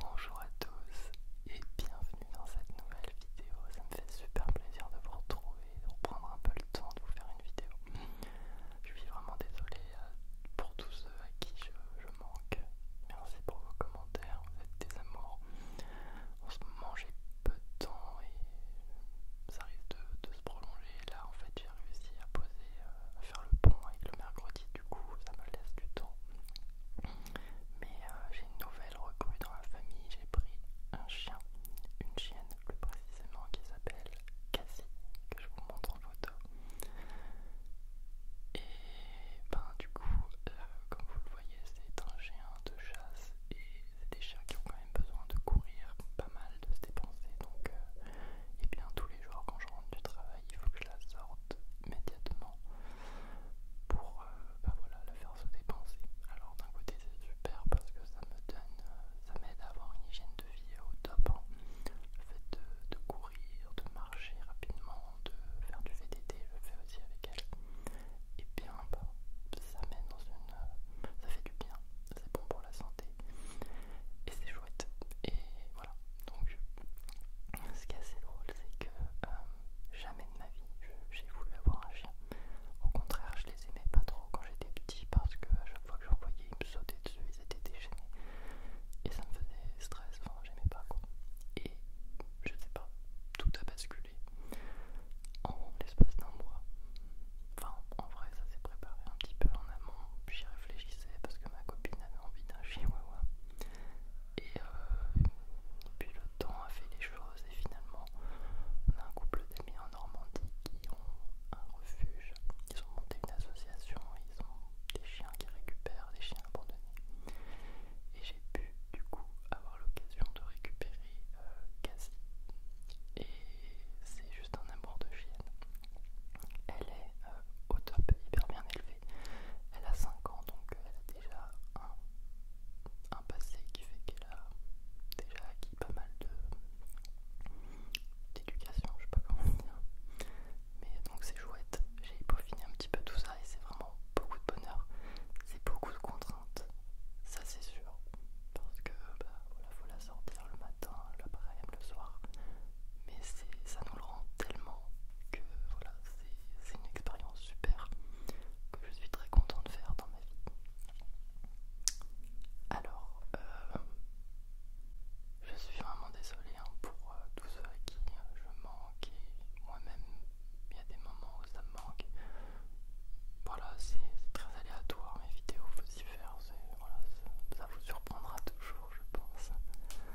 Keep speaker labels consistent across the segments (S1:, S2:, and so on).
S1: Bonjour à tous et bienvenue dans cette nouvelle vidéo. Ça me fait super plaisir de vous retrouver, de reprendre un peu le temps de vous faire une vidéo. Je suis vraiment désolé euh, pour tous ceux à qui je, manque. Merci pour vos commentaires, vous êtes des amours. En ce moment j'ai peu de temps et ça risque de, de se prolonger. Là en fait j'ai réussi à poser, euh, à faire le pont avec le mercredi du coup ça me laisse du temps. Mais euh, j'ai une nouvelle recrue dans la famille, j'ai pris un chien, une chienne plus précisément qui s'appelle Cassie, que je vous montre en photo. Et ben du coup, euh, comme vous le voyez, c'est un chien de chasse et c'est des chiens qui ont quand même besoin de courir, pas mal de se dépenser, donc euh, et bien tous les jours quand je rentre du travail, il faut que je la sorte immédiatement pour euh, bah la faire se dépenser. Alors d'un côté c'est super parce que ça me donne, euh, ça m'aide à avoir une hygiène de vie au top. Hein. Le fait de, courir, de marcher rapidement, de faire du VTT, je le fais aussi avec elle. Et bien bah, ça mène dans une. Euh, ça fait du bien, c'est bon pour la santé et c'est chouette. Et voilà, donc, ce qui est assez drôle, c'est que euh, jamais de ma vie j'ai voulu avoir un chien. Au contraire, je les aimais pas trop quand j'étais petit parce que à chaque fois que je voyais, ils me sautaient dessus, ils étaient déchaînés. Et ça me faisait stress, enfin, j'aimais pas quoi. Et je sais pas, tout a basculé en l'espace d'un mois. Enfin, en vrai, ça s'est préparé un petit peu en amont. J'y réfléchissais parce que ma copine envie d'un chihuahua. Euh, et, puis le temps a fait les choses et finalement on a un couple d'amis en Normandie qui ont un refuge. Ils ont monté une association, ils ont des chiens qui récupèrent des chiens abandonnés. Et j'ai pu du coup avoir l'occasion de récupérer euh, Cassie. Et c'est juste un amour de chienne. Elle est euh, au top, hyper bien élevée. Elle a 5 ans, donc euh, elle a déjà un, passé qui fait qu'elle a déjà acquis pas mal de d'éducation, je sais pas comment dire. Mais donc c'est chouette. J'ai finir un petit peu tout ça et c'est vraiment beaucoup de bonheur. C'est beaucoup de contraintes, ça c'est sûr. Parce que bah, faut la sortir le matin, l'après-midi, le soir mais ça nous le rend tellement que voilà, c'est une expérience super que je suis très content de faire dans ma vie. Alors, euh, je suis vraiment désolé hein, pour euh, tous ceux à qui euh, je manque et moi-même, il y a des moments où ça me manque. Voilà, c'est très aléatoire mes vidéos, faut s'y faire, voilà, ça vous surprendra toujours, je pense.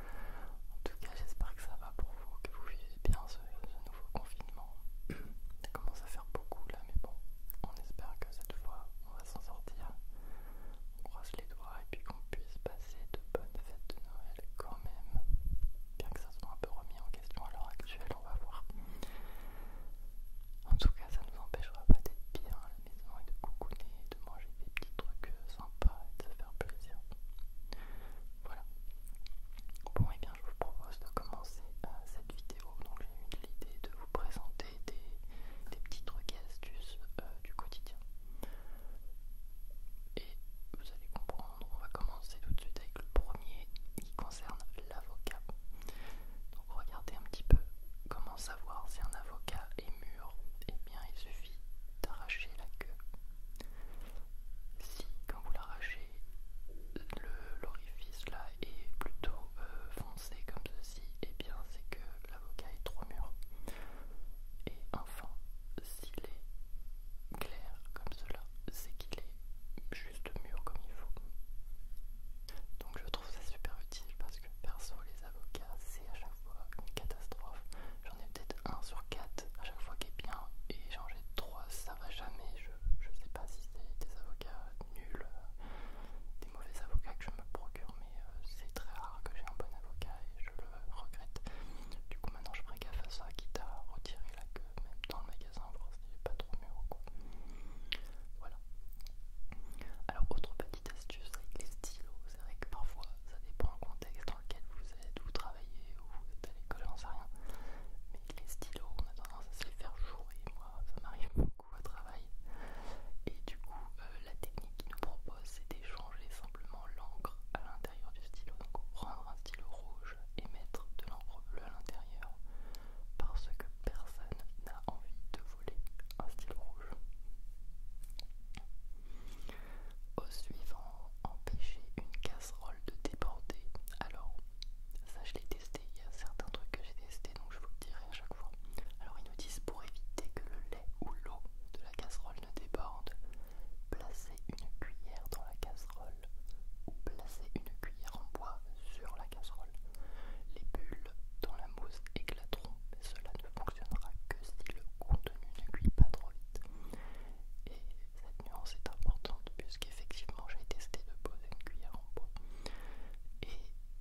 S1: En tout cas, j'espère que ça va pour vous, que vous vivez bien ce, nouveau confinement. ça commence à faire beaucoup là, mais bon, on espère que cette fois on va s'en sortir. On croise les doigts et puis qu'on puisse passer de bonnes fêtes de Noël quand même. Bien que ça soit un peu remis en question à l'heure actuelle, on va voir. En tout cas, ça ne nous empêchera pas d'être bien et de coucouner de manger des petits trucs euh, sympas et de se faire plaisir. Voilà. Bon et eh bien je vous propose de commencer euh, cette vidéo. Donc j'ai eu l'idée de vous présenter des, des petits trucs et astuces euh, du quotidien. Et vous allez comprendre, on va commencer tout de suite avec le premier qui concerne l'avocat. Donc regardez un petit peu comment savoir si un avocat est mûr, et eh bien il suffit d'arracher la queue. Si quand vous l'arrachez, l'orifice là est plutôt euh, foncé comme ceci, et eh bien c'est que l'avocat est trop mûr. Et enfin, s'il est clair comme cela, c'est qu'il est juste mûr comme il faut. Donc je trouve ça super utile parce que perso, les avocats, c'est à chaque fois une catastrophe. J'en ai peut-être un sur quatre à chaque fois qui est bien, et j'en ai trois, ça va jamais. Je, sais pas si c'est des avocats nuls, euh, des mauvais avocats que je me procure, mais euh, c'est très rare que j'ai un bon avocat et je le regrette. Du coup, maintenant je ferai gaffe à ça, quitte à retirer la queue, même dans le magasin, voir si j'ai pas trop mieux ou quoi. Voilà. Alors, autre petite astuce avec les stylos, c'est vrai que parfois ça dépend du contexte dans lequel vous êtes, vous travaillez ou vous êtes à l'école, j'en sais rien. Mais les stylos, on a tendance à se les faire jouer, moi ça m'arrive beaucoup au travail. Et du coup, euh, la technique qu'ils nous propose c'est d'échanger simplement l'encre à l'intérieur du stylo. Donc prendre un stylo rouge et mettre de l'encre bleue à l'intérieur parce que personne n'a envie de voler un stylo rouge. Au suivant, empêcher une casserole de déborder. Alors, ça je l'ai testé, il y a certains trucs que j'ai testé donc je vous le dirai à chaque fois. Alors ils nous disent pour éviter que le lait ou l'eau de la casserole ne déborde, placer une cuillère dans la casserole ou placez une cuillère en bois sur la casserole. Les bulles dans la mousse éclateront mais cela ne fonctionnera que si le contenu ne cuit pas trop vite. Et cette nuance est importante puisqu'effectivement j'ai testé de poser une cuillère en bois et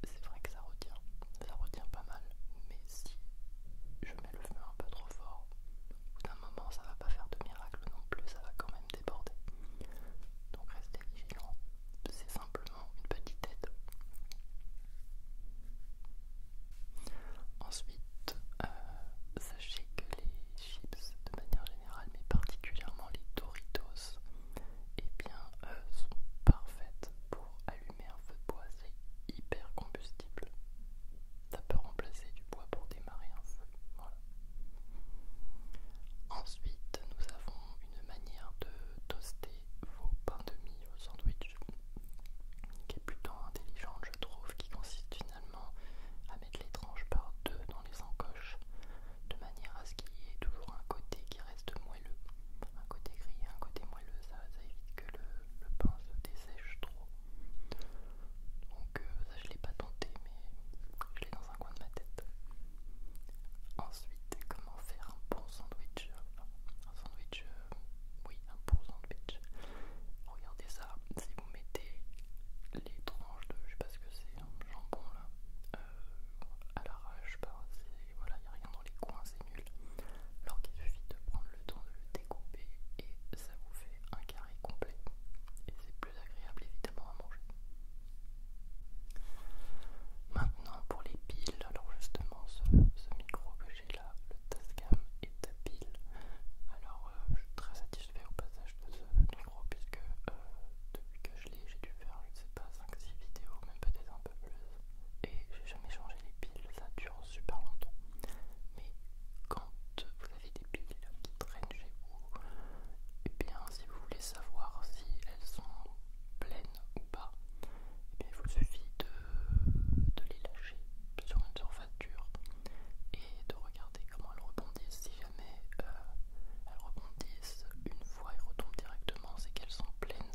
S1: c'est vrai que ça retient, ça retient pas mal, mais si je mets le feu un peu trop fort, d'un moment ça va pas faire de miracle non plus, ça va quand même déborder. Donc restez vigilant, c'est simplement une petite aide. Ensuite, euh, sachez que les chips, de manière générale, mais particulièrement les Doritos, eh bien, euh, sont parfaites pour allumer un feu de bois. C'est hyper combustible. Ça peut remplacer du bois pour démarrer un feu. Ensuite, nous avons une manière de toaster vos pains de mie, au sandwich qui est plutôt intelligente je trouve, qui consiste finalement à mettre les tranches par deux dans les encoches, de manière à ce qu'il y ait toujours un côté qui reste moelleux, un côté gris, un côté moelleux, ça, évite que le, pain se dessèche trop. Donc euh, ça je l'ai pas tenté, mais je l'ai dans un coin de ma tête. Ensuite, comment faire un bon sandwich, un sandwich, euh, oui, un beau sandwich. Regardez ça, si vous mettez les tranches de, je sais pas ce que c'est, un hein, jambon là, euh, à l'arrache, bah, voilà, il n'y a rien dans les coins, c'est nul. Alors qu'il suffit de prendre le temps de le découper et ça vous fait un carré complet. Et c'est plus agréable évidemment à manger. Maintenant pour les piles, alors justement ce micro que j'ai là le Tascam à pile Alors euh, je suis très satisfait au passage de ce numéro puisque euh, depuis que je l'ai, j'ai dû faire, je ne sais pas, 5-6 vidéos, même peut-être un peu plus. Et j'ai jamais changé les piles, ça dure super longtemps. Mais quand vous avez des piles qui traînent chez vous, et eh bien si vous voulez savoir si elles sont pleines ou pas, eh il vous suffit de, les lâcher sur une surface dure et de regarder comment elles rebondissent. Si jamais euh, elles rebondissent une fois et retombent directement, c'est qu'elles sont pleines.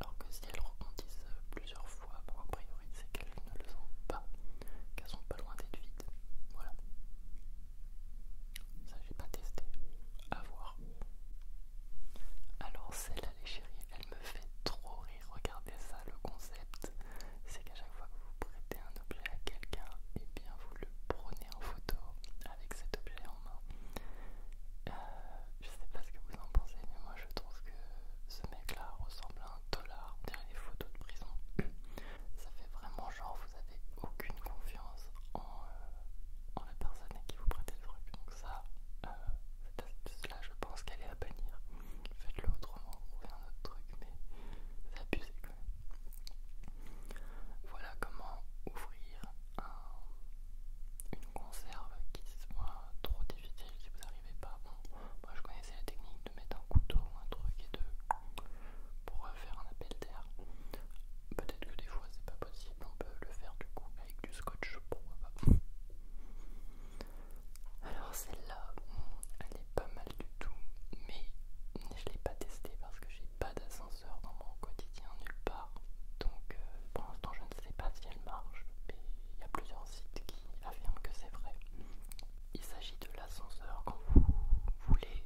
S1: Alors que si elles rebondissent plusieurs fois, pour a priori, c'est qu'elles ne le sont pas, qu'elles sont pas loin d'être vides. Voilà. Ça, j'ai pas testé. À voir. Alors, celle-là, les elle me fait trop rire. Regardez ça, le concept, c'est qu'à chaque fois que vous prêtez un objet à quelqu'un, et eh bien vous le prenez en photo avec cet objet en main. Euh, je sais pas ce que vous en pensez, mais moi je trouve que ce mec-là ressemble à un dollar. On les photos de prison. Ça fait vraiment genre vous avez aucune confiance en, euh, la personne à qui vous prêtez le truc ça, euh, je pense qu'elle est à bannir. Faites-le autrement, trouvez un autre truc, mais c'est abusé quand même. Voilà comment ouvrir une conserve qui soit trop difficile si vous n'arrivez pas. Bon, moi je connaissais la technique de mettre un couteau ou un truc et de. pour euh, faire un appel d'air. Peut-être que des fois c'est pas possible, on peut le faire du coup avec du scotch, pourquoi Alors celle-là, elle est pas mal du tout, mais je l'ai pas testée parce que j'ai pas d'ascenseur dans mon quotidien nulle part. Donc euh, pour l'instant je ne sais pas si elle marche, mais il y a plusieurs sites qui affirment que c'est vrai. Il s'agit de l'ascenseur quand vous voulez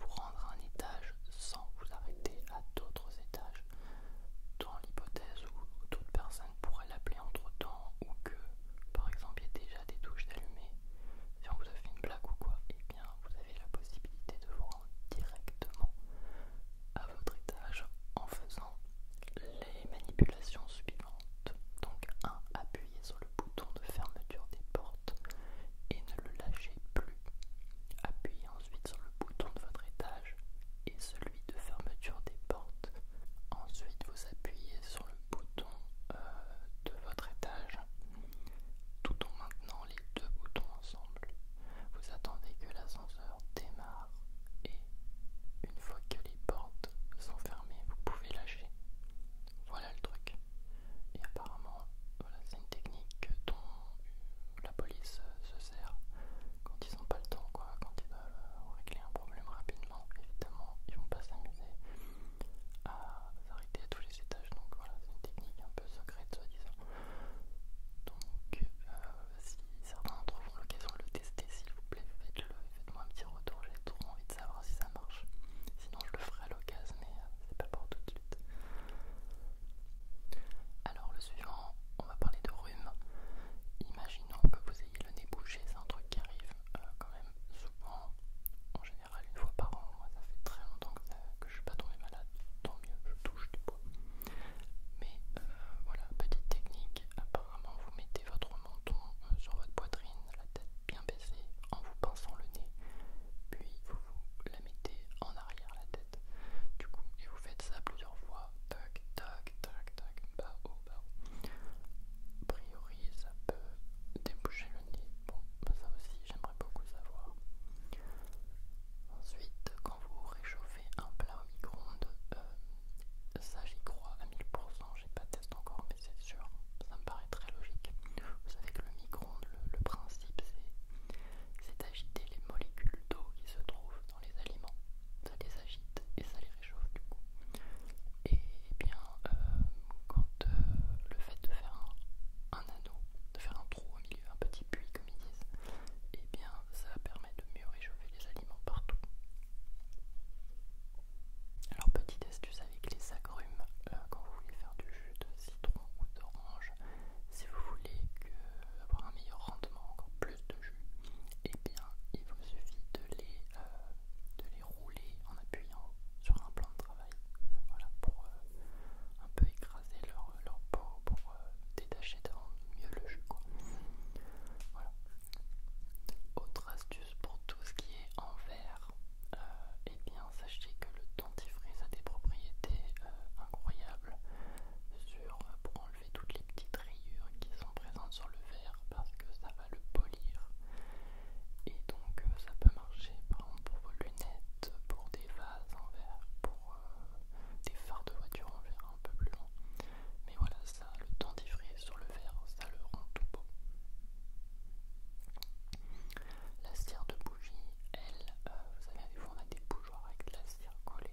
S1: vous rendre à un étage sans vous arrêter à d'autres étages dans l'hypothèse où toute personne pourrait l'appeler entre temps ou que par exemple il y a déjà des touches d'allumer si on vous a fait une blague ou quoi, et eh bien vous avez la possibilité de vous rendre directement à votre étage en faisant les manipulations suivantes. Donc un, Appuyez sur le bouton de fermeture des portes et ne le lâchez plus. Appuyez ensuite sur le bouton de votre étage et celui de fermeture des portes. Ensuite, vous appuyez sur le bouton euh, de votre étage tout en maintenant les deux boutons ensemble. Vous attendez que l'ascenseur démarre et une fois que les portes sont fermées, vous pouvez lâcher. Voilà le truc. Et apparemment, c'est une technique dont la police se sert quand ils n'ont pas le temps, quand ils veulent euh, régler un problème rapidement. Évidemment, ils vont pas s'amuser à s'arrêter à tous les étages. Donc voilà, c'est une technique un peu secrète, soi-disant. Donc, euh, si certains d'entre vous l'occasion de le tester, s'il vous plaît, faites-le faites-moi un petit retour. J'ai trop envie de savoir si ça marche. Sinon, je le ferai à l'occasion, mais euh, c'est pas pour tout de suite. Alors le suivant, on va parler de rhume. Imaginons que vous ayez le nez bouché, c'est un truc qui arrive euh, quand même souvent, en général une fois par an. Moi ça fait très longtemps que, je suis pas tombé malade, tant mieux, je touche du bois. Mais euh, voilà, petite technique, apparemment vous mettez votre menton euh, sur votre poitrine, la tête bien baissée, en vous pinçant le nez, puis vous la mettez en arrière la tête du coup, et vous faites ça plusieurs fois. Tac, tac, tac, tac, bas haut, bas A priori, ça peut déboucher le nez. Bon, bah, ça aussi, j'aimerais beaucoup savoir. Ensuite, quand vous réchauffez un plat au micro-ondes, euh, ça j'y crois à 1000%, j'ai pas testé encore, mais c'est sûr, ça me paraît très logique. Vous savez que le micro-ondes, le, principe c'est d'agiter les molécules d'eau qui se trouvent les aliments, ça les agite et ça les réchauffe du coup. Et eh bien, euh, quand euh, le fait de faire un, anneau, de faire un trou au milieu, un petit puits comme ils disent, et eh bien ça permet de mieux réchauffer les aliments partout. Alors petite astuce avec les agrumes, euh, quand vous voulez faire du jus de citron ou d'orange, si vous voulez avoir un meilleur rendement, encore plus de jus, et eh bien il vous suffit de les, euh, de les rouler en appuyant sur un plan de travail. Voilà, pour euh, un peu écraser leur, leur peau, pour euh, détacher davantage mieux le jus. Voilà. Autre astuce pour tout ce qui est en verre, eh bien sachez que le dentifrice a des propriétés incroyables sur, pour enlever toutes les petites rayures qui sont présentes sur le verre parce que ça va le polir. Et donc euh, ça peut marcher par exemple pour vos lunettes, pour des vases en verre, pour euh, des phares de voiture en verre un peu plus long. Mais voilà, ça, le dentifrice sur le verre, ça le rend tout beau. La cire de bougie, elle, euh, vous savez, des fois on a des bougies avec la cire collée, et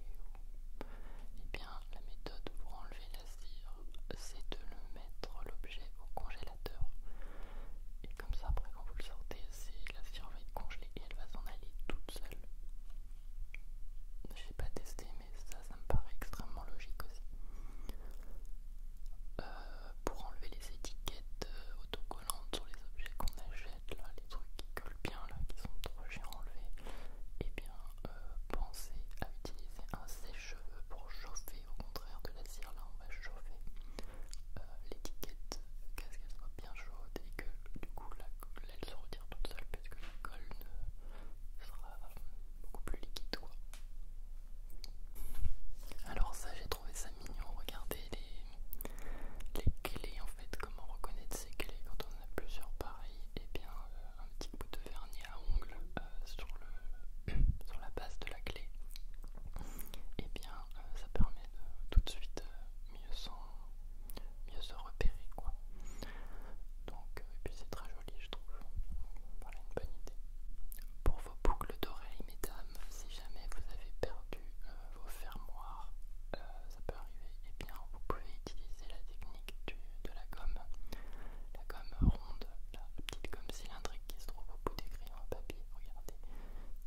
S1: eh bien la méthode pour enlever la cire, c'est de le mettre l'objet au congélateur. Et comme ça, après quand vous le sortez, la cire va être congelée et elle va s'en aller toute seule. J'ai pas testé, mais ça, ça me paraît extrêmement logique aussi. Euh, pour enlever les étiquettes euh, autocollantes sur les objets qu'on achète, là, les trucs qui collent bien là, qui sont trop chers à enlever, et eh bien euh, pensez à utiliser un sèche-cheveux pour chauffer, au contraire de la cire là, on va chauffer euh, l'étiquette qu'à ce qu'elle soit bien chaude et que du coup la colle elle se retire toute seule parce que la colle sera beaucoup plus liquide quoi. Alors ça j'ai trouvé ça mignon, regardez les, les clés en fait, comment reconnaître ces clés quand on plusieurs pareils, et eh bien euh, un petit bout de vernis à ongles euh, sur, le, sur la base de la clé, et eh bien euh, ça permet de tout de suite mieux, mieux se repérer quoi. Donc, et puis c'est très joli je trouve, voilà une bonne idée. Pour vos boucles d'oreilles mesdames, si jamais vous avez perdu vos fermoirs, euh, ça peut arriver, et eh bien vous pouvez utiliser la technique de la gomme, la gomme ronde, la, petite gomme cylindrique qui se trouve au bout des crayons à papier, regardez,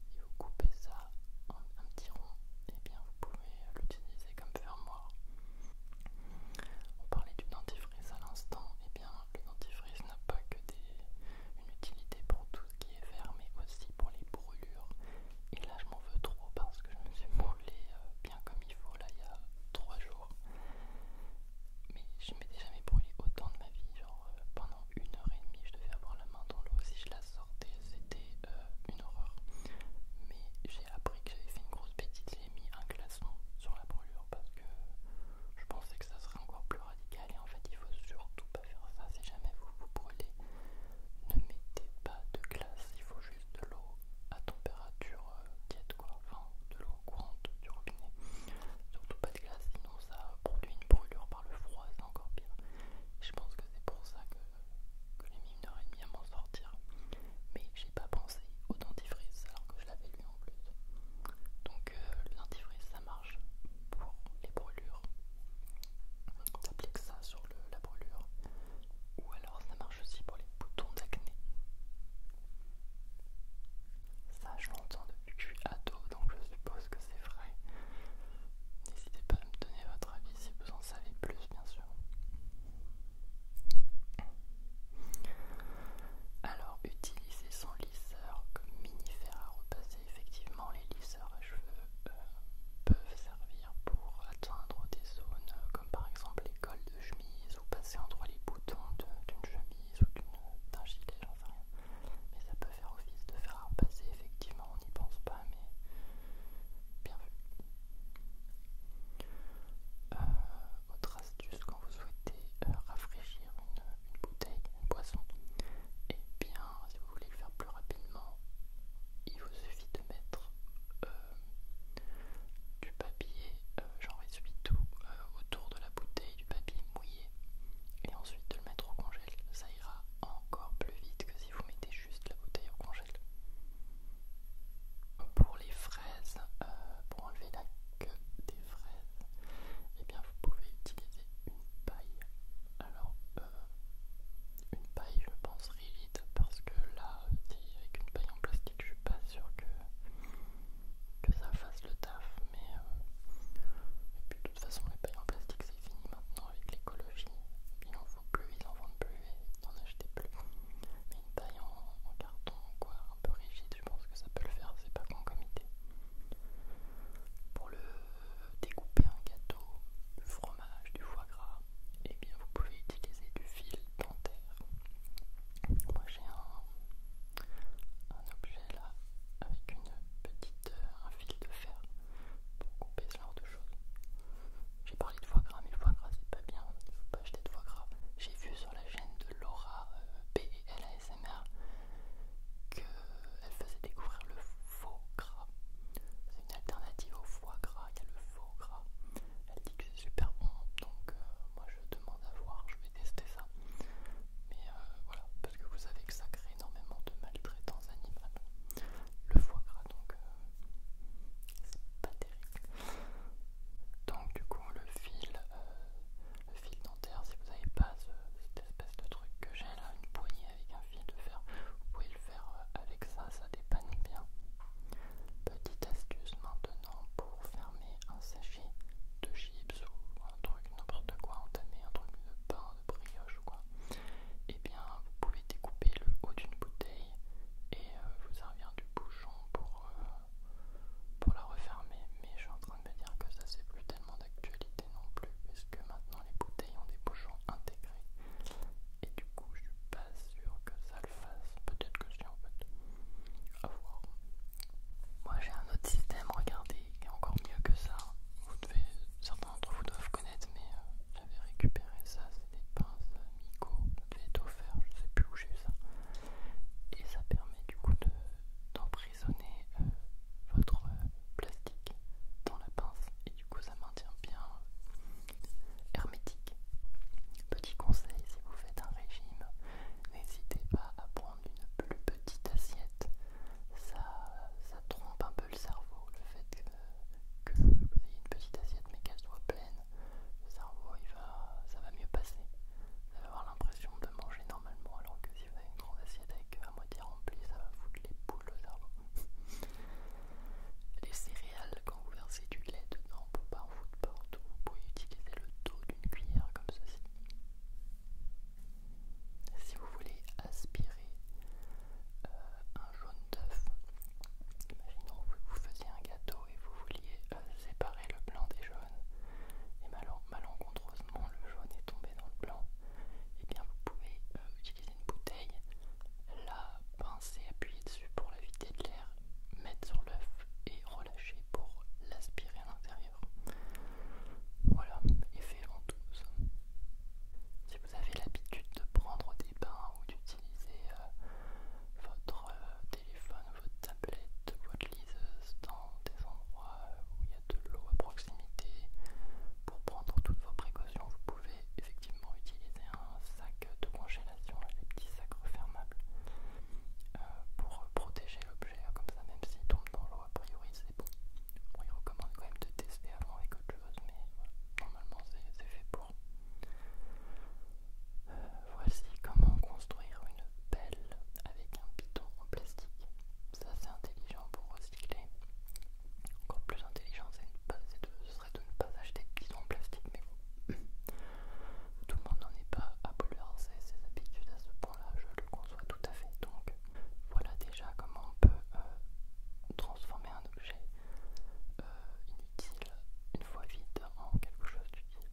S1: si vous coupez ça en un petit rond, et eh bien vous pouvez l'utiliser comme fermoir. On parlait du dentifrice à l'instant, et eh bien le dentifrice n'a pas que des, une utilité pour tout ce qui est verre mais aussi pour les brûlures et là, je m'en veux trop parce que je me suis brûlé euh, bien comme il faut là il y a 3 jours. Mais je m'étais jamais brûlé autant de ma vie. Genre euh, pendant une heure et demie, je devais avoir la main dans l'eau. Si je la sortais, c'était euh, une horreur. Mais j'ai appris que j'avais fait une grosse bêtise. J'ai mis un glaçon sur la brûlure parce que je pensais que ça serait encore plus radical. Et en fait, il faut surtout pas faire ça si jamais vous vous brûlez. Ne mettez pas de glace, juste de l'eau à température tiède, euh, quoi, enfin de l'eau courante du robinet. Surtout pas de glace, sinon ça produit une brûlure par le froid, c'est encore pire. Je pense que c'est pour ça que, que j'ai mis une heure et à m'en sortir. Mais j'ai pas pensé au dentifrice alors que je l'avais lu en plus. Donc euh, le dentifrice ça marche pour les brûlures. applique ça sur la brûlure ou alors ça marche aussi pour les boutons d'acné. Ça, je l'entends depuis que je suis donc je suppose que c'est vrai. N'hésitez pas à me donner votre avis si vous en savez plus, bien sûr. Alors, utiliser son lisseur comme mini fer à repasser. Effectivement, les lisseurs à cheveux euh, peuvent pour atteindre des zones euh, comme par exemple les cols de chemise ou passer entre les boutons d'une chemise ou d'un gilet, enfin rien. Mais ça peut faire office de faire à repasser, effectivement, on n'y pense pas, mais bien vu. Euh, autre astuce quand vous souhaitez euh, rafraîchir une, bouteille, une boisson, et eh bien si vous voulez le faire plus rapidement, il vous suffit de mettre euh, du papier, j'en euh, vais tout euh, autour de la bouteille, du papier mouillé, et ensuite de le mettre au congèle. Ça ira encore plus vite que si vous mettez juste la bouteille au congèle. Pour les fraises, pour enlever la queue des fraises, et eh bien vous pouvez utiliser une paille. Alors, une paille je pense rigide parce que là avec une paille en plastique je suis pas sûr que, que ça fasse le taf mais euh, de toute façon les pailles en plastique c'est fini maintenant avec l'écologie il en faut plus, ils en vendent plus et n'en achètent plus mais une paille en, carton quoi un peu rigide je pense que ça peut le faire c'est pas con comme idée pour le découper un gâteau, du fromage, du foie gras, et eh bien vous pouvez utiliser du fil dentaire. Moi j'ai un, objet là avec une petite euh, un fil de fer pour couper ce genre de choses. J'ai parlé de foie gras mais le foie gras c'est pas bien, il faut pas acheter de foie gras. J'ai vu sur la chaîne de Laura euh, que qu'elle faisait découvrir le faux gras alternative au foie gras, il y a le faux gras. Elle dit que c'est super bon, donc euh, moi je demande à voir, je vais tester ça. Mais euh, voilà, parce que vous savez que ça crée énormément de maltraitants animaux Le foie gras, donc euh, c'est pas terrible. Donc du coup le fil, le fil dentaire, si vous n'avez pas cette espèce de truc que j'ai là, une poignée avec un fil de fer. Vous pouvez le faire euh, avec ça, ça dépanne bien. Petite astuce maintenant pour fermer un sachet de chips ou un truc n'importe quoi, entamer un truc de pain, de brioche ou quoi. Et eh bien vous pouvez découper le haut d'une bouteille et euh, vous servir du bouchon pour, euh, pour la refermer. Mais je suis en train de me dire que ça c'est plus tellement d'actualité non plus puisque maintenant les bouteilles ont des bouchons intégrés et du coup je suis pas sûr que ça le fasse. Peut-être que si en fait. A voir. Moi j'ai un autre système, regardez, qui est encore mieux que ça. Vous devez, certains d'entre vous doivent connaître, mais euh, j'avais récupéré ça, c'est des pinces Miko, devait offert, je sais plus où j'ai eu ça. Et ça permet du coup d'emprisonner de, euh, votre euh, plastique dans la pince du ça maintient bien euh, hermétique. Petit conseil, si vous faites un régime, n'hésitez pas à prendre une plus petite assiette. Ça, ça trompe un peu le cerveau, le fait que, vous ayez une petite assiette mais qu'elle soit pleine, le cerveau il va, ça va mieux passer. Vous allez avoir l'impression de manger normalement alors que si vous avez une grande assiette avec euh, à moitié remplie, ça va foutre les boules au cerveau. Les céréales, quand vous versez du lait dedans pour pas en foutre partout, vous pouvez utiliser le dos d'une cuillère comme ceci. Si vous voulez aspirer euh, un jaune d'œuf, imaginons que vous faisiez un gâteau et vous vouliez euh, séparer le blanc des jaunes, et malencontreusement le jaune est tombé dans le blanc, et eh bien vous pouvez euh, une bouteille, la pincer, appuyer dessus pour la vider de l'air, mettre sur l'œuf et relâcher pour l'aspirer à l'intérieur. Voilà, effet ventouse. Si vous avez l'habitude de prendre des bains ou d'utiliser euh, votre euh, téléphone, votre tablette, votre liseuse dans des endroits où il y a de l'eau à proximité, pour prendre toutes vos précautions, vous pouvez effectivement utiliser un sac de congélation, les petits sacs refermables, euh, pour protéger l'objet, hein, comme ça même s'il tombe dans l'eau, a priori c'est bon. On Il recommande quand même de tester avant avec autre chose, mais normalement c'est fait pour. Euh, voici comment construire une pelle avec un piton en plastique. Ça c'est intelligent pour recycler. Encore plus intelligent, c'est ce serait de ne pas acheter de pistons en plastique, mais bon. Tout le monde n'en est pas à bouleverser ses habitudes à ce point-là, je le conçois tout à fait. Donc voilà déjà comment on peut euh, transformer un objet euh, inutile une fois vide en quelque chose d'utile.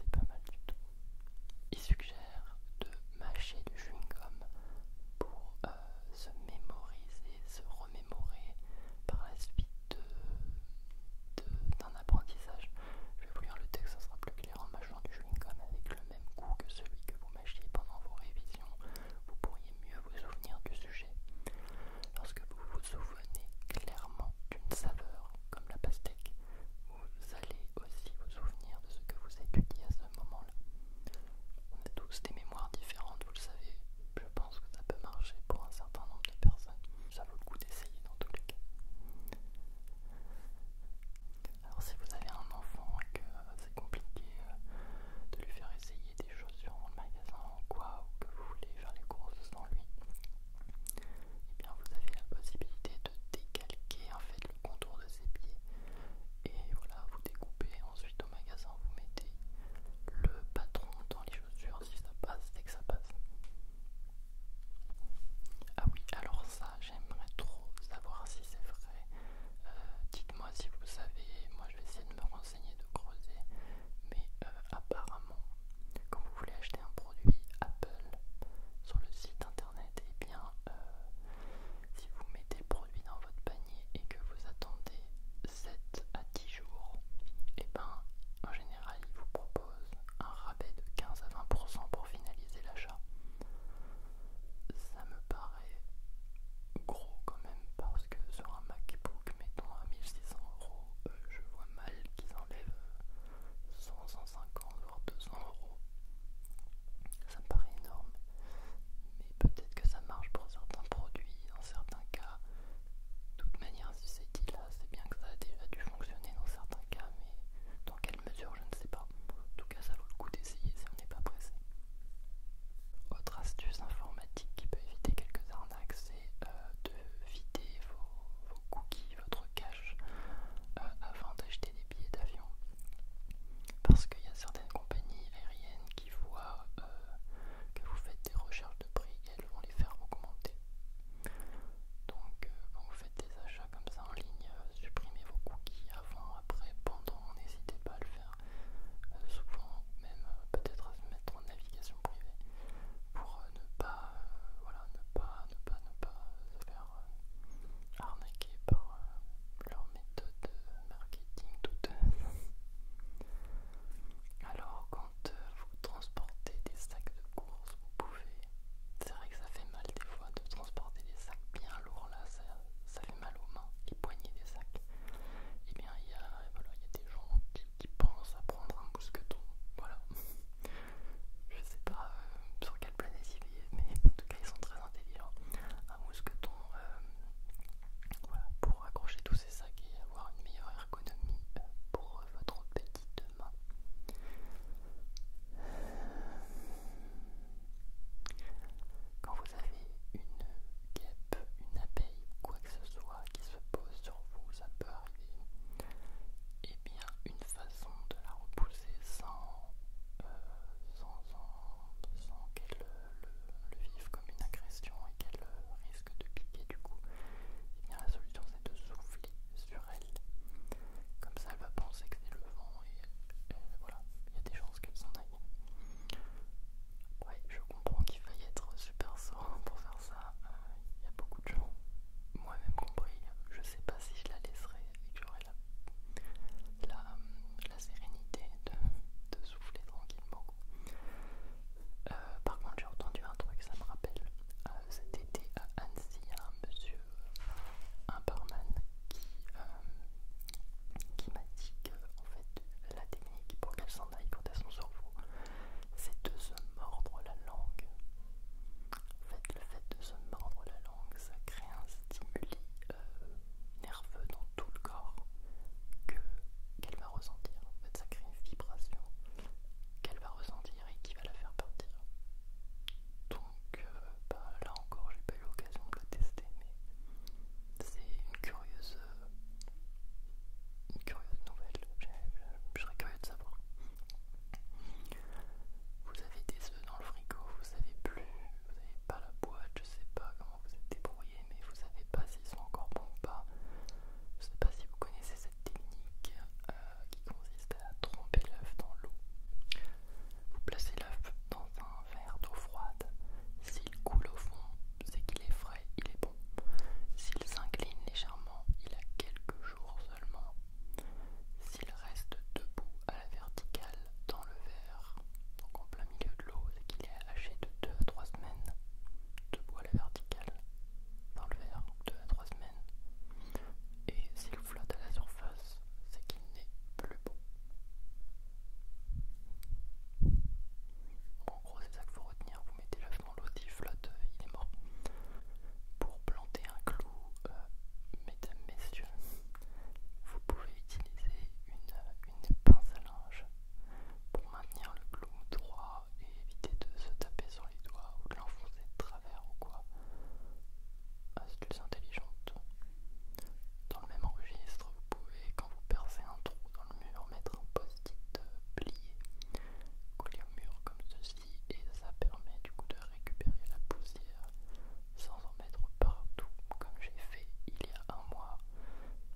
S1: C'est pas mal du tout. Il suggère de mâcher du chewing-gum pour euh, se mémoriser, se remémorer par la suite d'un apprentissage. Je vais vous lire le texte, ça sera plus clair en mâchant du chewing-gum avec le même goût que celui que vous mâchiez pendant vos révisions. Vous pourriez mieux vous souvenir du sujet. Lorsque vous vous souvenez clairement d'une saveur, comme la pastèque, vous allez aussi vous souvenir de ce que vous étudiez à ce moment-là. On a tous des mémoires différentes, vous le savez. Je pense que ça peut marcher pour un certain nombre de personnes. Ça vaut le coup d'essayer dans tous les cas. Alors si vous avez un enfant et que euh, c'est compliqué euh, de lui faire essayer des chaussures en magasin ou quoi, ou que vous voulez faire les courses sans lui, et eh bien vous avez la possibilité de décalquer en fait le contour de ses pieds et voilà, vous découpez ensuite au magasin vous mettez le patron dans les chaussures si ça passe et que ça passe. Ah oui, alors ça j'aimerais trop savoir si c'est vrai. Euh, dites-moi si vous savez, moi je vais essayer de me renseigner, de creuser, mais euh, apparemment quand vous voulez acheter un produit Apple sur le site internet, et eh bien euh, si vous mettez le produit dans votre panier et que vous attendez 7 à 10 jours, et eh ben en général ils vous proposent un rabais de 15 à 20% pour finaliser l'achat. Ça me paraît gros quand même parce que sur un MacBook mettons à 1600 euros, euh, je vois mal qu'ils enlèvent 100, 150 voire 200 euros. Ça me paraît énorme, peut-être que ça marche pour certains produits, dans certains cas. De toute manière, si c'est dit là, c'est bien que ça a déjà dû fonctionner dans certains cas, mais dans quelle mesure, je ne sais pas. En tout cas, ça vaut le coup d'essayer si on n'est pas pressé. Autre astuce informatique qui peut éviter quelques arnaques, c'est euh, de vider vos, cookies, votre cache, euh, avant d'acheter des billets d'avion. Parce qu'il y a certaines compagnies aériennes qui voient euh, que vous faites des recherches de prix et elles vont les faire augmenter. Donc euh, quand vous faites des achats comme ça en ligne, euh, supprimez vos cookies avant, après, pendant, n'hésitez pas à le faire. souvent, même peut-être à se mettre en navigation privée pour ne pas, voilà, ne pas, ne pas, ne pas se faire arnaquer par leur méthode marketing tout Alors, quand euh, vous transportez des sacs de course, vous pouvez. C'est vrai que ça fait mal des fois de transporter des sacs bien lourds là, ça, fait mal aux mains, les poignées des sacs. Et eh bien, il y, voilà, y a des gens qui, pensent à prendre un mousqueton. Voilà. Je sais pas euh, sur quelle planète il est, mais en tout cas ils sont très intelligents. Un mousqueton, euh, voilà, pour accrocher tous ces sacs et avoir une meilleure ergonomie euh, pour votre petite main. Quand vous avez une guêpe, une abeille quoi que ce soit qui se pose sur vous, ça peut arriver. Et eh bien, une façon de la repousser sans, euh, sans, sans, sans qu'elle le, vivre comme une agression et qu'elle risque de piquer du coup, eh bien la solution c'est de souffler sur elle. Comme ça elle va penser que c'est le vent et, euh, voilà, il y a des chances qu'elle s'en aille. Ouais, je comprends qu'il faille être super serein pour faire ça. Il y a beaucoup de gens, moi-même compris, je sais pas si je la laisserai et que j'aurai la, sérénité de tranquillement. Euh, par contre, j'ai entendu un truc, ça me rappelle euh, cet été à Annecy, un monsieur, un barman, euh, qui, m'a dit que en fait, la technique pour qu'elle s'en aille quand elle son cerveau, c'est de se mordre la langue. En fait, le fait de se mordre la langue, ça crée un stimuli nerveux dans tout le corps qu'elle va ressentir. En fait, ça crée une vibration qu'elle va ressentir et qui va la faire partir. Donc euh, bah, là encore, j'ai pas eu l'occasion de le tester, mais c'est une curieuse, une curieuse nouvelle. Je serais curieux de savoir. Vous avez des œufs dans le frigo, vous savez plus vous n'avez pas la boîte, je ne sais pas comment vous êtes débrouillé, mais vous savez pas s'ils sont encore bons ou pas. Je ne sais pas si vous connaissez cette technique euh, qui consiste à tromper l'œuf dans l'eau. Vous placez l'œuf dans un verre d'eau froide. S'il coule au fond, c'est qu'il est frais, il est bon. S'il s'incline légèrement, il a quelques jours seulement. S'il reste debout à la verticale dans le verre, donc en plein milieu l'eau, c'est qu'il est haché de 2 à 3 semaines de bois à la verticale dans le verre, 2 à 3 semaines. Et s'il flotte à la surface, c'est qu'il n'est plus bon. En gros, c'est ça qu'il faut retenir. Vous mettez lâchement l'eau, s'il flotte, euh, il est mort. Pour planter un clou, euh, mesdames, messieurs, vous pouvez utiliser une euh, une pince à linge pour maintenir le clou droit et éviter de se taper sur les doigts ou de l'enfoncer de travers ou quoi. Astuce ah, intelligente. Dans le même registre, vous pouvez, quand vous percez un trou dans le mur, mettre un post-it euh, plié, coller au mur comme ceci, et ça permet du coup de récupérer la poussière sans en mettre partout, comme j'ai fait il y a un mois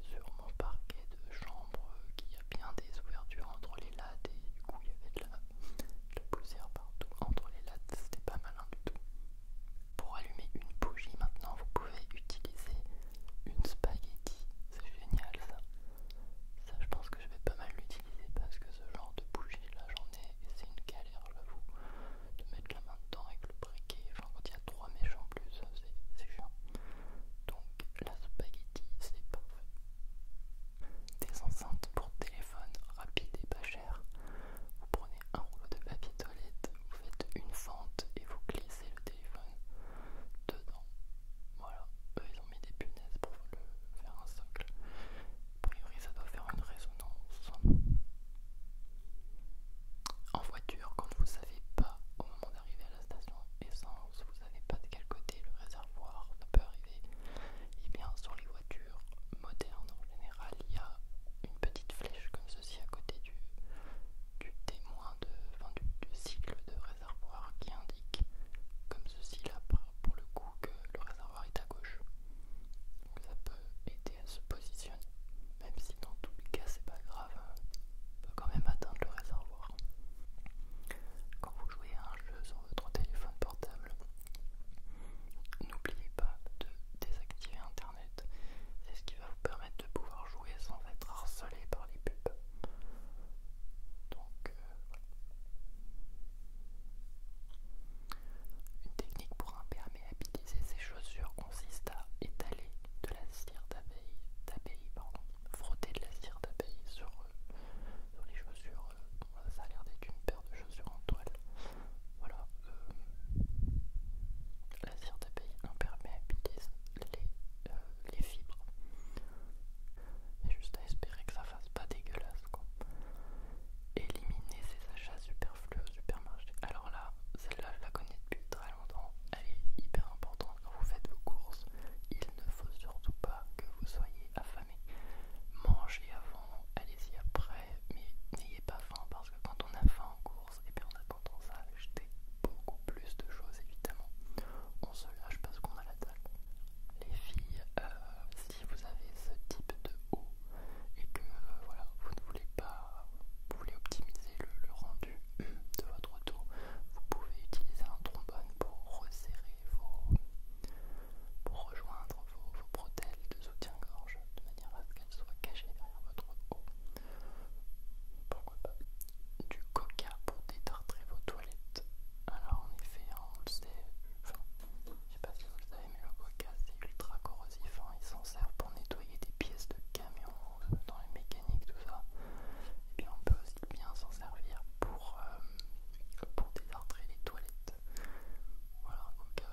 S1: sur mon parquet de chambre euh, qui a bien des ouvertures entre les lattes et du coup il y avait de la, poussière partout entre les lattes, c'était pas malin du tout. Pour allumer une bougie maintenant vous pouvez utiliser une spaghetti, c'est génial ça. Ça je pense que je vais pas mal l'utiliser parce que ce genre de bougie là j'en ai et c'est une galère j'avoue de mettre la main dedans avec le briquet. Enfin, quand il y a trois méchants en plus, c'est chiant. Donc, la spaghetti, c'est parfait. Des enceintes pour téléphone rapide et pas chères. Vous prenez un rouleau de papier toilette, vous faites une fente et vous glissez le téléphone dedans. Voilà, eux ils ont mis des punaises pour le faire un socle. A priori, ça doit faire une résonance en voiture quand vous savez pas au moment d'arriver à la station essence, vous savez pas de quel côté le réservoir ne peut arriver. Et eh bien sur les voitures modernes en général, il y a une petite flèche comme ceci à côté du, témoin de, du, cycle de réservoir qui indique comme ceci là pour le coup que le réservoir est à gauche se positionne, même si dans tous les cas c'est pas grave, hein. on peut quand même atteindre le réservoir. Quand vous jouez à un jeu sur votre téléphone portable, n'oubliez pas de désactiver internet, c'est ce qui va vous permettre de pouvoir jouer sans être harcelé par les pubs. Donc, euh, Une technique pour imperméabiliser ses chaussures consiste à étaler de la cire d'abeille, frotter de la cire d'abeille sur, euh, sur les chaussures. Euh, ça a l'air d'être une paire de chaussures en toile. Voilà. Euh, la cire d'abeille permet les, les fibres. juste à espérer que ça fasse pas dégueulasse quoi. Éliminer ces achats superflus au supermarché. Alors là, celle-là je la connais depuis très elle est hyper importante quand vous faites vos courses. Il ne faut surtout pas que vous soyez affamé. Mangez avant, allez-y après, mais n'ayez pas faim parce que quand on a faim en course, et eh bien on a tendance à acheter beaucoup plus de choses évidemment. On se lâche parce qu'on a la dalle. Les filles, euh, si vous avez ce type de haut, et que euh, voilà, vous ne voulez pas, optimiser le, rendu de votre dos, vous pouvez utiliser un trombone pour resserrer vos, pour rejoindre vos, vos de soutien-gorge de manière à ce qu'elles soient cachées derrière votre dos. Pourquoi pas Du coca pour détartrer vos toilettes. Alors en effet, hein, on le sait, enfin, je sais pas si vous le savez, mais le coca c'est ultra corrosif, hein. il s'en sert pour nettoyer des pièces de camion dans les mécaniques, tout ça, et bien on peut aussi bien s'en servir pour, euh, pour désartrer les toilettes. Voilà, un euh, coca,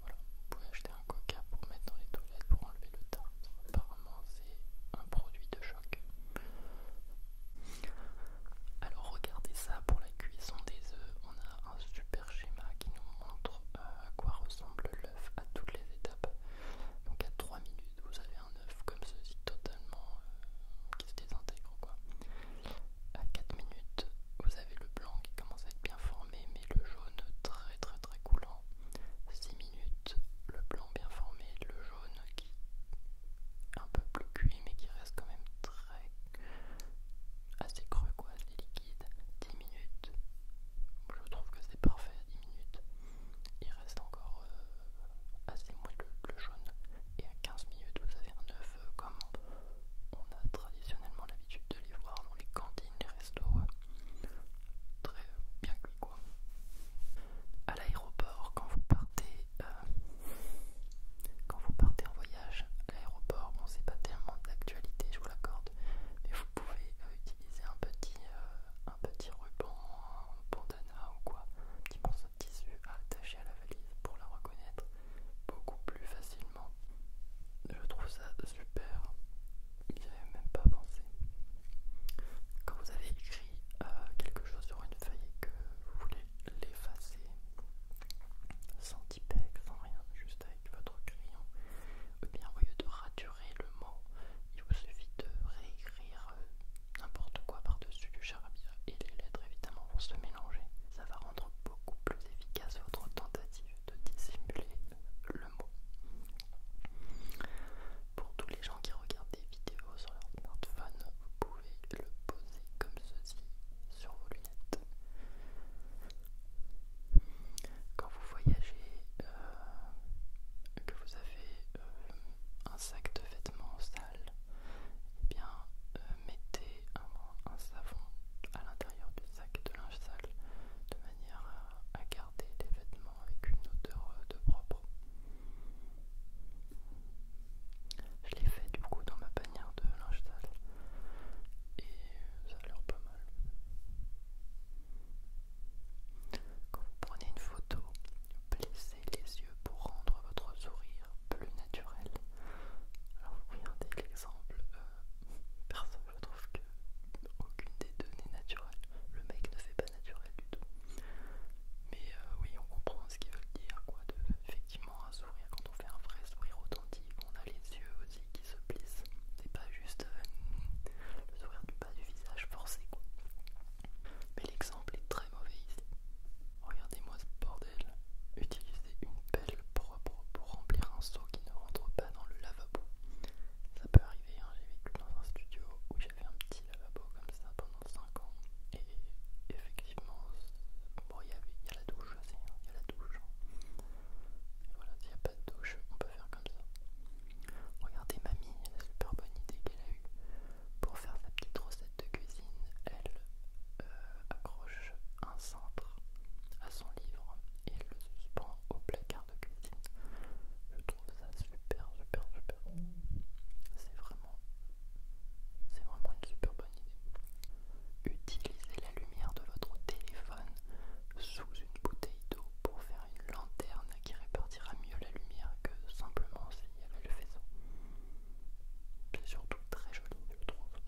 S1: voilà, vous pouvez acheter un coca pour mettre dans les toilettes, pour enlever le tartre, Apparemment, c'est un produit de choc. Alors regardez ça pour la cuisson des œufs, on a un super schéma qui nous montre euh, à quoi ressemble l'œuf à toutes les étapes. Donc à 3 minutes, vous avez un œuf comme ceci totalement euh, qui se désintègre quoi. À 4 minutes, vous avez le blanc qui commence à être bien formé, mais le jaune très très très coulant. 6 minutes, le blanc bien formé, le jaune qui est un peu plus cuit mais qui reste quand même très assez creux quoi, assez liquide. 10 minutes, je trouve que c'est parfait à 10 minutes. Il reste encore euh, assez moins le jaune. Et à 15 minutes, vous avez un œuf euh, comme on a traditionnellement l'habitude de les voir dans les cantines, les restos. Euh, très bien quoi. À l'aéroport, quand vous partez, quand vous partez en voyage, à l'aéroport, bon c'est pas tellement d'actualité, je vous l'accorde, mais vous pouvez utiliser un petit, euh, un petit ruban, un bandana ou quoi, un petit morceau de tissu à attacher à la valise pour la reconnaître beaucoup plus facilement. Je trouve ça super, j'y avais même pas pensé. Quand vous avez écrit euh, quelque chose sur une feuille et que vous voulez l'effacer, sans typex, sans rien, juste votre crayon, eh bien au lieu de raturer le mot, il vous suffit de réécrire euh, n'importe quoi par-dessus du charabia et les lettres évidemment vont se mélanger. Ça va rendre beaucoup plus efficace votre tentative de dissimuler le mot. Pour tous les gens qui regardent des vidéos sur leur smartphone, vous pouvez le poser comme ceci sur vos lunettes. Quand vous voyagez, euh, que vous avez euh, un sac de vêtements sale, eh bien euh, mettez un, savon à l'intérieur du sac de linge sale de manière à, garder les vêtements avec une odeur de propre. Je l'ai fait du coup dans ma bannière de linge sale et ça a l'air pas mal. Quand vous prenez une photo, blessez les yeux pour rendre votre sourire plus naturel. Alors vous regardez l'exemple, euh, personne je trouve que aucune des deux n'est naturelle. Le mec ne fait pas naturel du tout. Mais euh, oui, on comprend ce qu'il veut dire, quoi, de effectivement un sourire. Quand on fait un vrai sourire authentique, on a les yeux qui se plissent. C'est pas juste euh, le sourire du bas du visage forcé quoi. Mais l'exemple est très mauvais ici. Regardez-moi ce bordel. Utiliser une pelle propre pour remplir un seau qui ne rentre pas dans le lavabo. Ça peut arriver, hein. j'ai vécu dans un studio où j'avais un petit lavabo comme ça pendant 5 ans. Et effectivement, bon, il y, a la douche aussi, il y a la douche. Hein. Hein. Voilà, s'il n'y a pas de douche, on peut faire comme ça. Regardez mamie, la super bonne idée qu'elle a eue. Pour faire sa petite recette de cuisine, elle euh, accroche un cintre à son livre et le suspend au placard de cuisine. Je trouve ça super, super, super. C'est vraiment, c'est vraiment une super bonne idée. Utilisez la lumière de votre téléphone sous une bouteille pour faire une lanterne qui répartira mieux la lumière que simplement s'il y avait le faisceau. C'est surtout très joli, je trouve.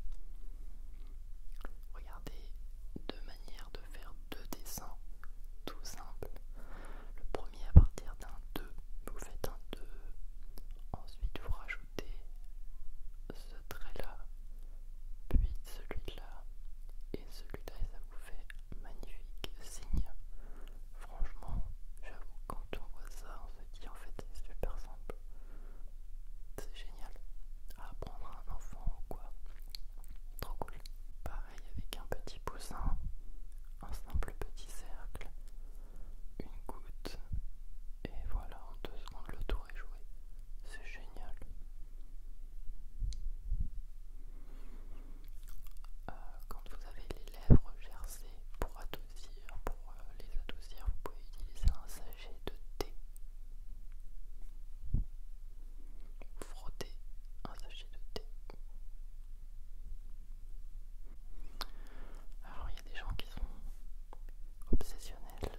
S1: Regardez deux manières de faire deux dessins tout simples. Le premier à partir d'un 2, vous faites un 2, ensuite vous rajoutez ce trait là, puis celui là, et celui-là ça vous fait magnifique signe. Franchement, j'avoue, quand on voit ça, on se dit en fait c'est super simple. C'est génial à apprendre à un enfant ou quoi. Trop cool. Pareil avec un petit poussin, un simple petit cercle, une goutte, et voilà, en deux secondes le tour est joué. C'est génial. Euh, quand vous avez les lèvres gercées pour adoucir, pour euh, les adoucir, vous pouvez utiliser un sachet de thé. frotter un sachet de thé. Alors il y a des gens qui sont obsessionnels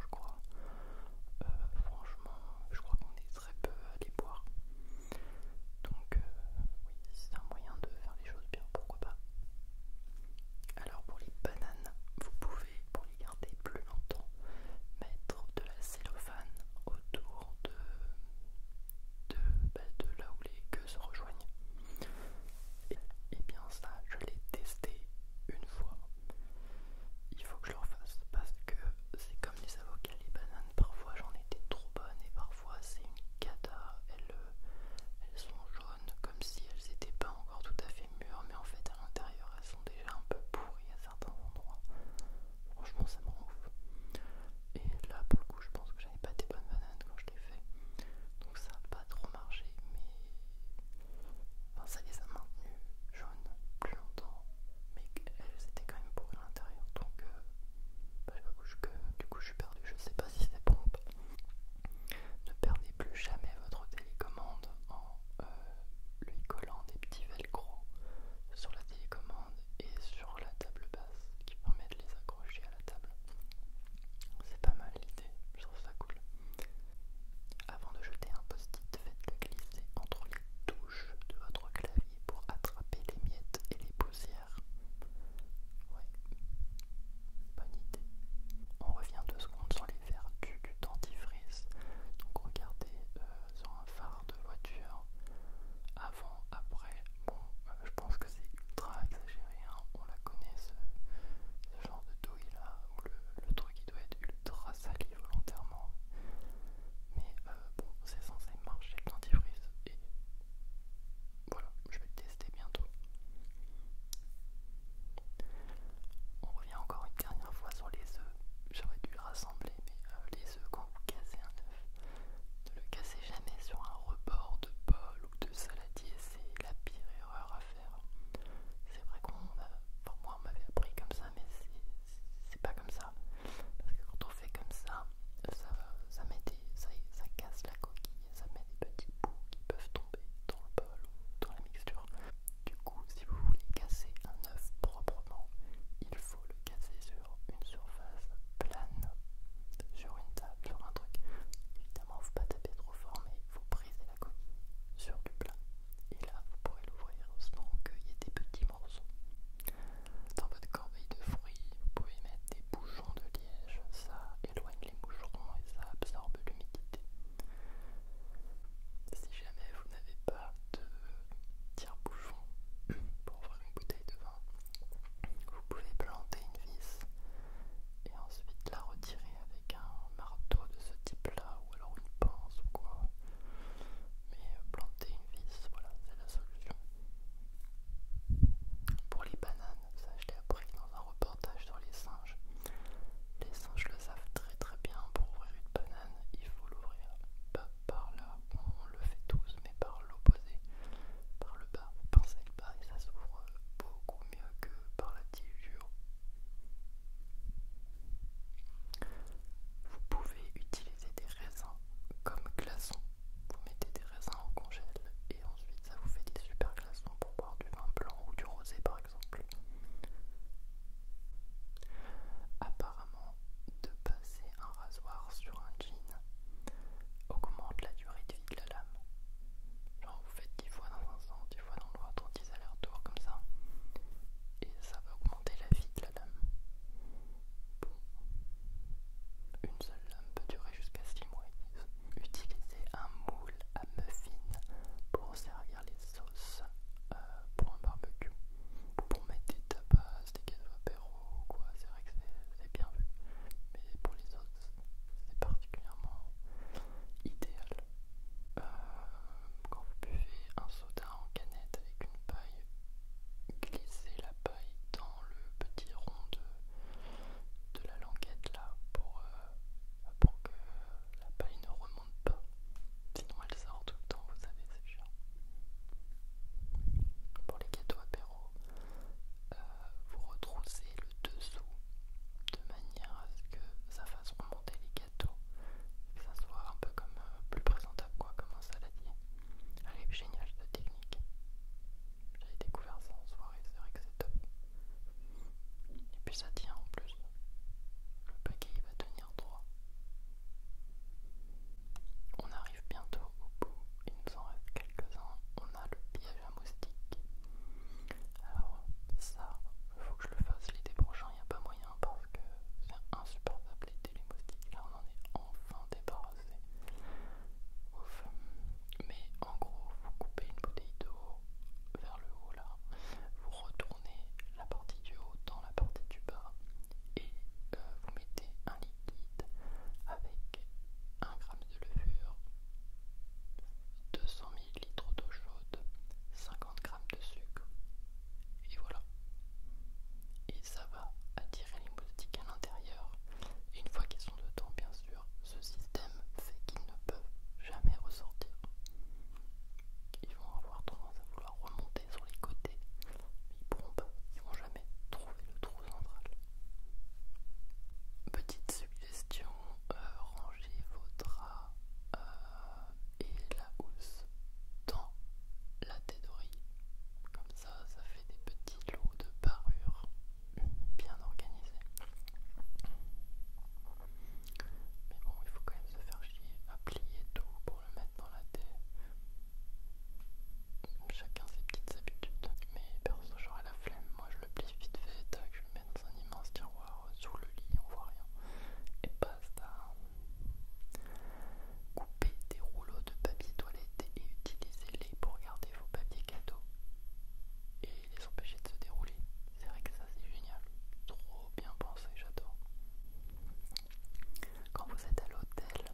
S1: je crois. Euh, franchement, je crois qu'on est très peu à les boire. Donc euh, oui, c'est un moyen de faire les choses bien, pourquoi pas. Alors pour les bananes, vous pouvez, pour les garder plus longtemps, mettre de la cellophane autour de, de, bah, là où les queues se rejoignent. et eh bien ça, je l'ai testé une fois il faut que je le refasse parce que c'est comme les avocats, les bananes, parfois j'en étais trop bonne et parfois c'est une cata, elles, euh, sont jaunes comme si elles n'étaient pas encore tout à fait mûres mais en fait à l'intérieur elles sont déjà un peu pourries à certains endroits. Franchement ça me rend ouf. Et là pour le coup je pense que j'avais pas des bonnes bananes quand je l'ai fait. Donc ça n'a pas trop marché mais Enfin, ça les a maintenues jaunes plus longtemps, mais elles euh, étaient quand même pourries à l'intérieur. Donc, euh, bah, du coup, je suis perdu. Je sais pas si c'est pompe. Ne perdez plus jamais votre télécommande en euh, lui collant des petits velcro sur la télécommande et sur la table basse qui permet de les accrocher à la table. C'est pas mal l'idée, je trouve ça cool. Avant de jeter un post-it, faites-le glisser entre les touches de votre clavier pour attraper les miettes et les poussières. Ouais, bonne idée. On revient deux secondes sur les vertus du dentifrice. Donc regardez euh, sur un phare de voiture, avant, après. Bon, euh, je pense que c'est ultra exagéré, hein. on la connaît ce, genre de douille là, où le, truc qui doit être ultra sali volontairement. Mais euh, bon, c'est censé marcher le dentifrice et voilà, je vais le tester bientôt. On revient encore une dernière fois sur les œufs. J'aurais dû le rassembler, mais euh, les œufs, quand vous cassez un œuf, ne le cassez jamais sur un rebord de bol ou de saladier, c'est la pire erreur à faire. C'est vrai qu'on a moi, on m'avait appris comme ça, mais c'est pas comme ça. Parce que quand on fait comme ça, ça, casse la coquille, ça met des petits bouts qui peuvent tomber dans le bol ou dans la mixture. Du coup, si vous voulez casser un œuf proprement, il faut le casser sur une surface plane, sur une table, sur un truc. Évidemment, faut pas taper trop fort, mais faut briser la coquille sur du plat. Et là, vous pourrez l'ouvrir sans qu'il y ait des petits morceaux. Dans votre corbeille de fruits, vous pouvez mettre des bouchons de liège, ça éloigne les moucherons et ça absorbe l'humidité. Si jamais vous n'avez pas de tire-bouchon pour ouvrir une bouteille de vin, vous pouvez planter une vis et ensuite la retirer avec un marteau de ce type-là ou alors une pince ou quoi. Mais euh, planter une vis, voilà, c'est la solution. Pour les bananes, ça je l'ai appris dans un reportage sur les singes. Les singes le savent très très bien, pour ouvrir une banane, il faut l'ouvrir pas par là, on le fait tous, mais par l'opposé, par le bas, vous pincez le bas et ça s'ouvre beaucoup mieux que par la tige du haut. Vous pouvez utiliser des raisins comme glaçons. Vous mettez des raisins en congèle et ensuite ça vous fait des super glaçons pour boire du vin blanc ou du rosé par exemple. Apparemment, de passer un rasoir sur un jean augmente la durée de vie de la lame. Genre vous faites 10 fois dans un sens, 10 fois dans ton 10 l'air-tour, comme ça. Et ça va augmenter la vie de la lame. Bon. Une seule lame peut durer jusqu'à 6 mois Utilisez un moule à muffin pour servir les sauces euh, pour un barbecue. Pour mettre des tapas, des cadeaux ou quoi, c'est vrai que c'est bien vu. Mais pour les sauces, c'est particulièrement idéal. Euh, quand vous buvez un en canette avec une paille, glissez la paille dans le petit rond de, la languette là pour, euh, pour que la paille ne remonte pas. Sinon elle sort tout le temps, vous savez, c'est chiant. Pour les gâteaux apéro, euh, vous retroussez le dessous de manière à ce que ça fasse remonter les gâteau, que ça soit un peu comme euh, plus présentable quoi, comme un saladier. Allez génial génial cette technique. j'ai découvert ça en soirée, c'est vrai que c'est top. Et puis ça tient en plus. Le paquet va tenir droit. On arrive bientôt au bout, il nous en reste quelques-uns. On a le piège à moustique. Alors ça, il faut que je le fasse l'été prochain, il n'y a pas moyen parce que c'est insupportable les télémoustiques. Là, on en est enfin débarrassé. Ouf. Mais en gros, vous coupez une bouteille d'eau vers le haut là, vous retournez la partie du haut dans la partie du bas et euh, vous mettez un liquide avec 1 g de levure, 200 litres d'eau chaude, 50 g de sucre. Et voilà. Et ça va attirer les moustiques à l'intérieur. une fois qu'ils sont dedans, bien sûr, ce système fait qu'ils ne peuvent jamais ressortir. Ils vont avoir tendance à vouloir remonter sur les côtés, mais ils pourront ils vont jamais trouver le trou central. Petite suggestion, euh, rangez vos draps euh, et la housse dans la tédorie Comme ça, ça fait des petits lots de parure hmm, bien organisés. Mais bon, il faut quand même se faire chier à plier tout pour le mettre dans la thé Chacun ses petites habitudes. Mais perso, j'aurais la flemme. Moi, je le plie vite fait, je le mets dans un immense tiroir sous le lit, on voit rien. Et basta Coupez couper des rouleaux de papier toilette et utilisez-les pour garder vos papiers cadeaux et les empêcher de se dérouler. C'est vrai que ça c'est génial, trop bien pensé, j'adore. Quand vous êtes à l'hôtel,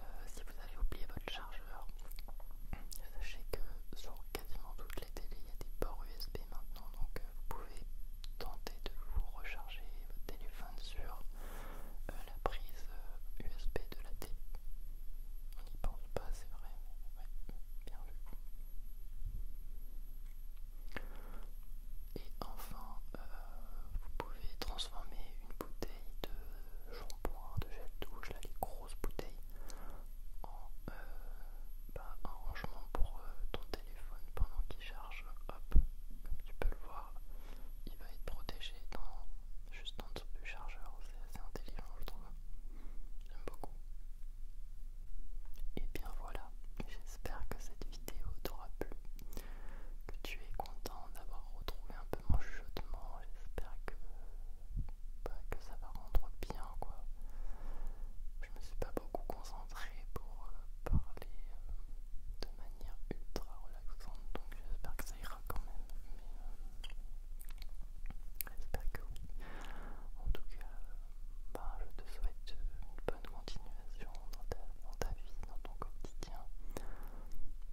S1: euh, si vous avez oublié votre chargeur, sachez que sur quasiment toutes les télés il y a des ports USB maintenant donc vous pouvez tenter de vous recharger votre téléphone sur euh, la prise USB euh, de la télé. On n'y pense pas, c'est vrai, bien vu. Et enfin, euh, vous pouvez transformer une bouteille de shampoing, de gel douche, là, les grosses bouteilles, en, bah, rangement pour ton téléphone pendant qu'il charge, hop, comme tu peux le voir, il va être protégé dans, juste en dessous du chargeur. C'est assez intelligent, je trouve. J'aime beaucoup. Et bien voilà, j'espère que cette vidéo t'aura plu, que tu es content d'avoir retrouvé un peu mon chuchotement. J'espère que, bah, que ça va rendre bien quoi. Je me suis pas beaucoup concentrée pour euh, parler euh, de manière ultra relaxante, donc j'espère que ça ira quand même. Mais euh, j'espère que oui. En tout cas, bah, je te souhaite une bonne continuation dans ta, vie, dans ton quotidien,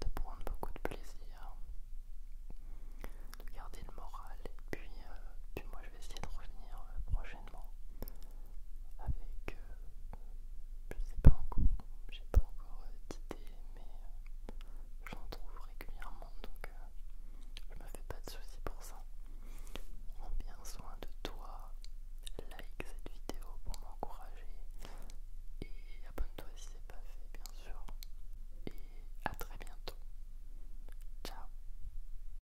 S1: de prendre beaucoup de plaisir, de garder le moral et puis, moi je vais essayer de revenir prochainement avec, euh, je sais pas encore, j'ai pas encore d'idées, mais euh, j'en trouve régulièrement, donc euh, je me fais pas de soucis pour ça. Prends bien soin de toi, like cette vidéo pour m'encourager et abonne-toi si c'est pas fait, bien sûr. Et à très bientôt. Ciao.